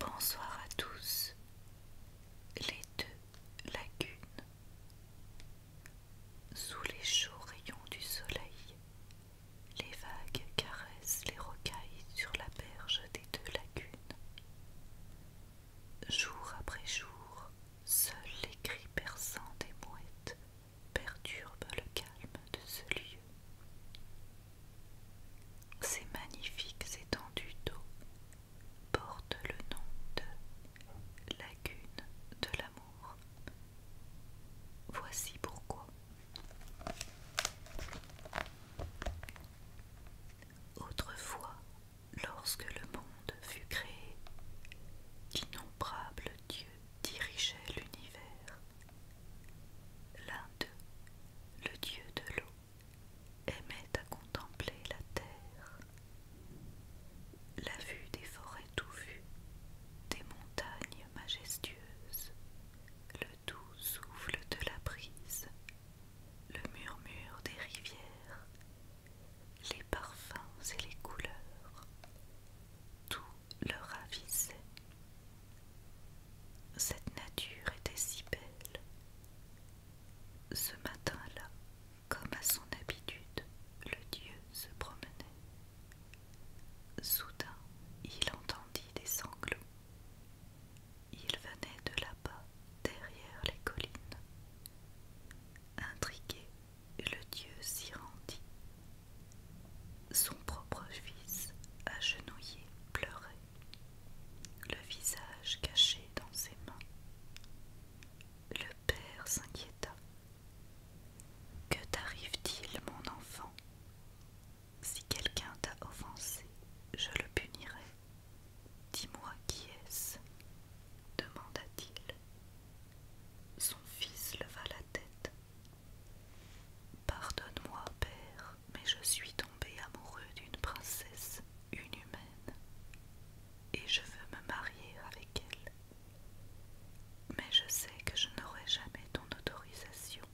Bonsoir à tous les deux lagunes sous les chauds rayons du soleil les vagues caressent les rocailles sur la berge des deux lagunes Jour après jour, seuls les cris perçants des mouettes perturbent le calme de ce lieu. Ces magnifiques étendues d'eau portent le nom de lagune de l'amour. Voici pourquoi. Autrefois, Lorsque le monde fut créé, d'innombrables dieux dirigeaient l'univers. L'un d'eux, le dieu de l'eau, aimait à contempler la terre. La vue des forêts tout vues, des montagnes majestueuses, le doux souffle de la brise, le murmure des rivières, les parfums et les couleurs, tout le ravissait. Cette nature était si belle. Ce matin-là, comme à son habitude, le dieu se promenait. Soudain, il entendit des sanglots. Il venait de là-bas, derrière les collines. Intrigué, le dieu s'y rendit. Son propre fils, agenouillé, pleurait, le visage caché dans ses mains. Le père s'inquiéta. Que t'arrive-t-il, mon enfant si quelqu'un t'a offensé, je le punirai. Dis-moi qui est-ce demanda-t-il. Son fils leva la tête. Pardonne-moi, père, mais je suis tombé amoureux d'une princesse une humaine, et je veux me marier avec elle. Mais je sais que je n'aurai jamais ton autorisation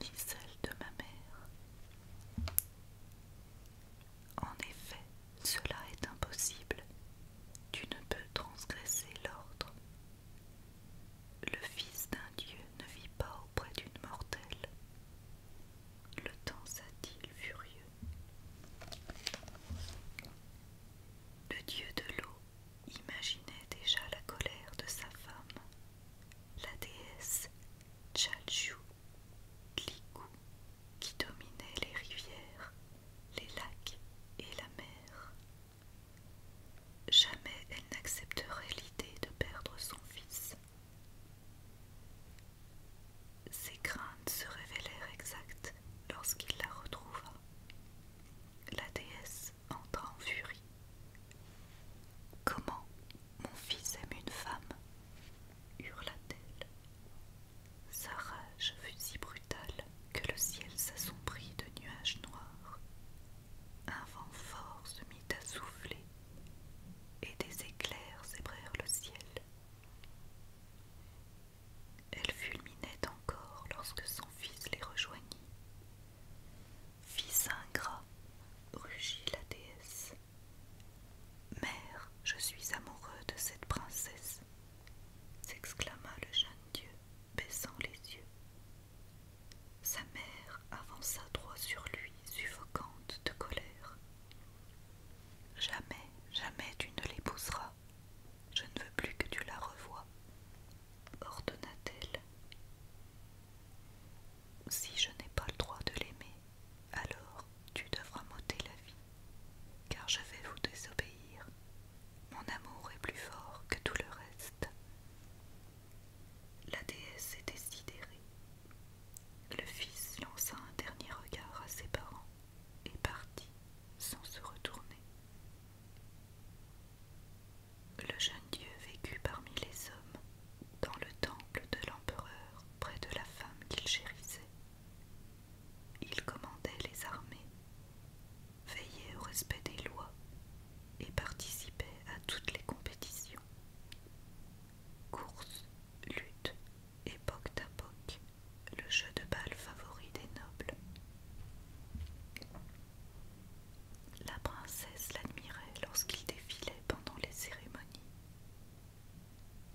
ni celle de ma mère. En effet, cela est impossible. Tu ne peux transgresser l'ordre. Le Fils d'un Dieu ne vit pas auprès d'une mortelle. Le temps sa il furieux. Le Dieu de l'eau imaginait déjà la colère de sa femme la déesse Chachu, l'iku, qui dominait les rivières, les lacs et la mer. Jamais elle n'accepterait l'idée de perdre son fils. Ses craintes se révélèrent exactes lorsqu'il la retrouva. La déesse entra en furie. Comment mon fils aime une femme hurla-t-elle. Sa rage fut si brutale que le ciel s'assombrit de nuages noirs. Un vent fort se mit à souffler et des éclairs zébrèrent le ciel. Elle fulminait encore lorsque son fils les rejoignit. Fils ingrat, rugit la déesse. Mère, je suis amoureux de cette princesse, s'exclama le jeune dieu, baissant les yeux. Sa mère avança droit sur lui, suffocante de colère. Jamais, jamais tu ne l'épouseras, je ne veux plus que tu la revoies, ordonna-t-elle. Si je n'ai pas le droit de l'aimer, alors tu devras m'ôter la vie, car je vais vous désobéir. Mon amour est plus fort que tout le reste. La déesse est sidérée. Le fils lança un dernier regard à ses parents et partit sans se retourner. Le jeune Dieu vécut parmi les hommes, dans le temple de l'empereur, près de la femme qu'il chérissait. Il commandait les armées, veillait au respect des lois et participait à toutes les compétitions. Courses, luttes, époque à le jeu de balle favori des nobles. La princesse l'admirait lorsqu'il défilait pendant les cérémonies.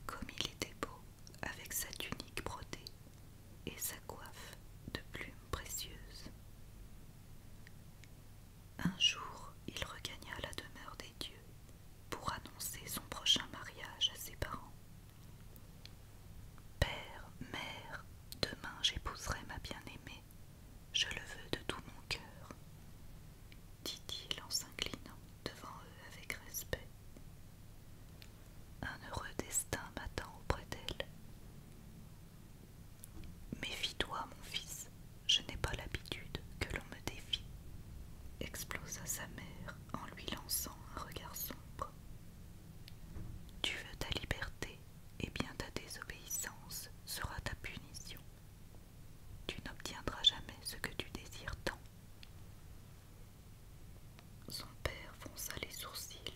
Comme il était beau avec sa tunique brodée et sa coiffe de plumes précieuses. Un jour, il regagna la demeure des dieux pour annoncer son prochain mariage à ses parents. Père, mère, demain j'épouserai ma bien-aimée, je le veux de tout mon cœur, dit-il en s'inclinant devant eux avec respect. Un heureux destin m'attend auprès d'elle. Méfie-toi, mon fils, je n'ai pas l'habitude que l'on me défie, explosa sa mère en lui lançant un regard sombre. Tu veux ta liberté, et bien ta désobéissance sera ta punition. Tu n'obtiendras jamais ce que tu désires tant. Son père fonça les sourcils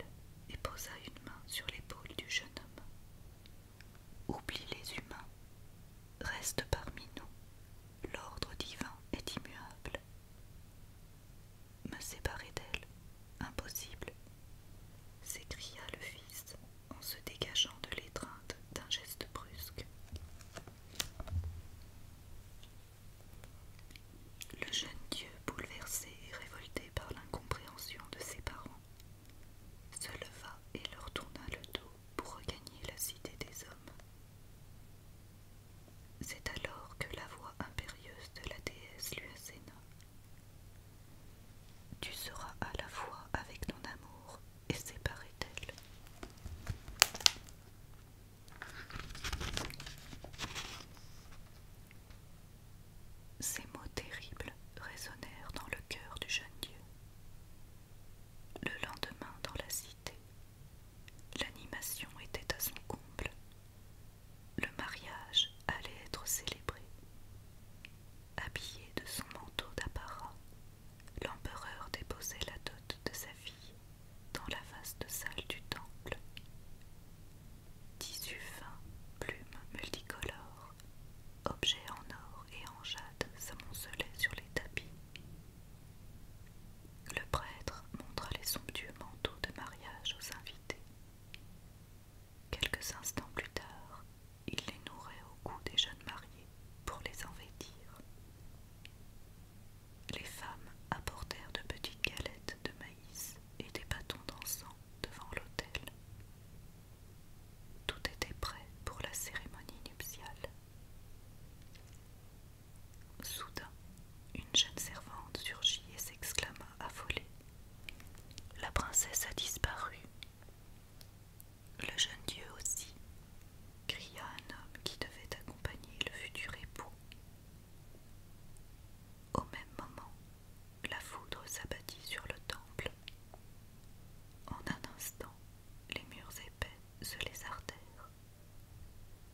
et posa une main sur l'épaule du jeune homme. Oublie les humains, reste parmi nous. L'ordre divin est immuable. Me séparer d'elle, impossible, s'écria le fils en se dégageant de l'étreinte d'un geste brusque. Le jeune Dieu, bouleversé et révolté par l'incompréhension de ses parents, se leva et leur tourna le dos pour regagner la cité des hommes. C'est alors que la voix impérieuse de la déesse lui asséna. Tu seras à la fois avec ton amour et séparé d'elle. Ces mots terribles résonnèrent dans le cœur du jeune Dieu. Le lendemain, dans la cité, L'animation était à son comble. Le mariage allait être célébré. Habillé de son manteau d'apparat, l'empereur déposait la dot de sa fille dans la vaste salle du temple. Tissus fins, plumes multicolores, objets en or et en jade s'amoncelaient sur les tapis, le prêtre montra les somptueux manteaux de mariage aux invités. Quelques instants plus tard, il les nourrit au cou des jeunes mariés pour les envêtir. Les femmes apportèrent de petites galettes de maïs et des bâtons d'encens devant l'autel. Tout était prêt pour la cérémonie nuptiale. Soudain, une jeune servante surgit et s'exclama affolée. La princesse a disparu. Le jeune dieu aussi, cria un homme qui devait accompagner le futur époux. Au même moment, la foudre s'abattit sur le temple. En un instant, les murs épais se lézardèrent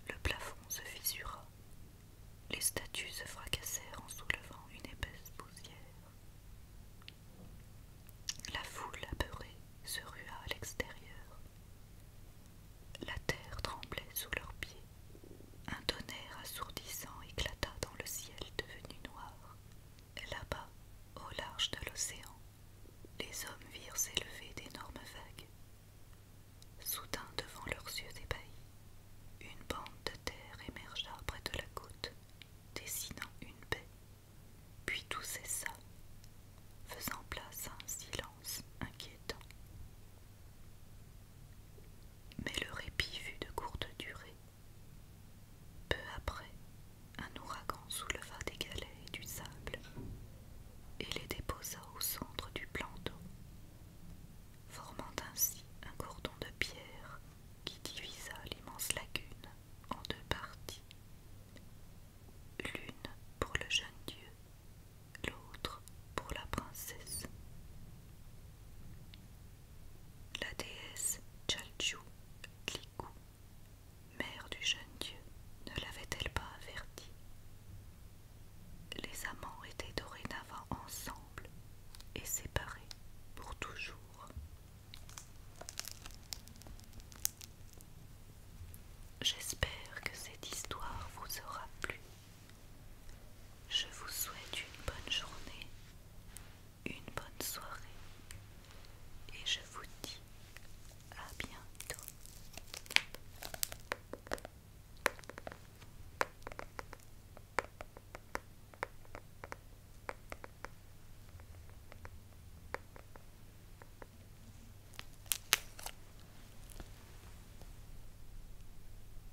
Le plafond se fissura. Les statues se fracassèrent en soulevant une épaisse poussière. La foule apeurée se rua à l'extérieur. La terre tremblait sous leurs pieds. Un tonnerre assourdissant éclata dans le ciel devenu noir. Là-bas, au large de l'océan, les hommes virent s'élever d'énormes vagues. Soudain, devant leurs yeux ébahis, une bande de terre émergea près de la côte, dessinant une baie, puis tout cessa, faisant place à un silence inquiétant. Mais le répit fut de courte durée. Peu après, un ouragan souleva des galets et du sable et les déposa au centre du plan d'eau, formant ainsi un cordon de pierre qui divisa l'immense lagune en deux parties, l'une pour le jeune dieu, l'autre pour la princesse la déesse Chalju mère du jeune dieu, ne l'avait-elle pas averti Les amants étaient dorénavant ensemble et séparés pour toujours. J'espère que cette histoire vous aura plu. Je vous souhaite une bonne journée, une bonne soirée et je vous dis à bientôt.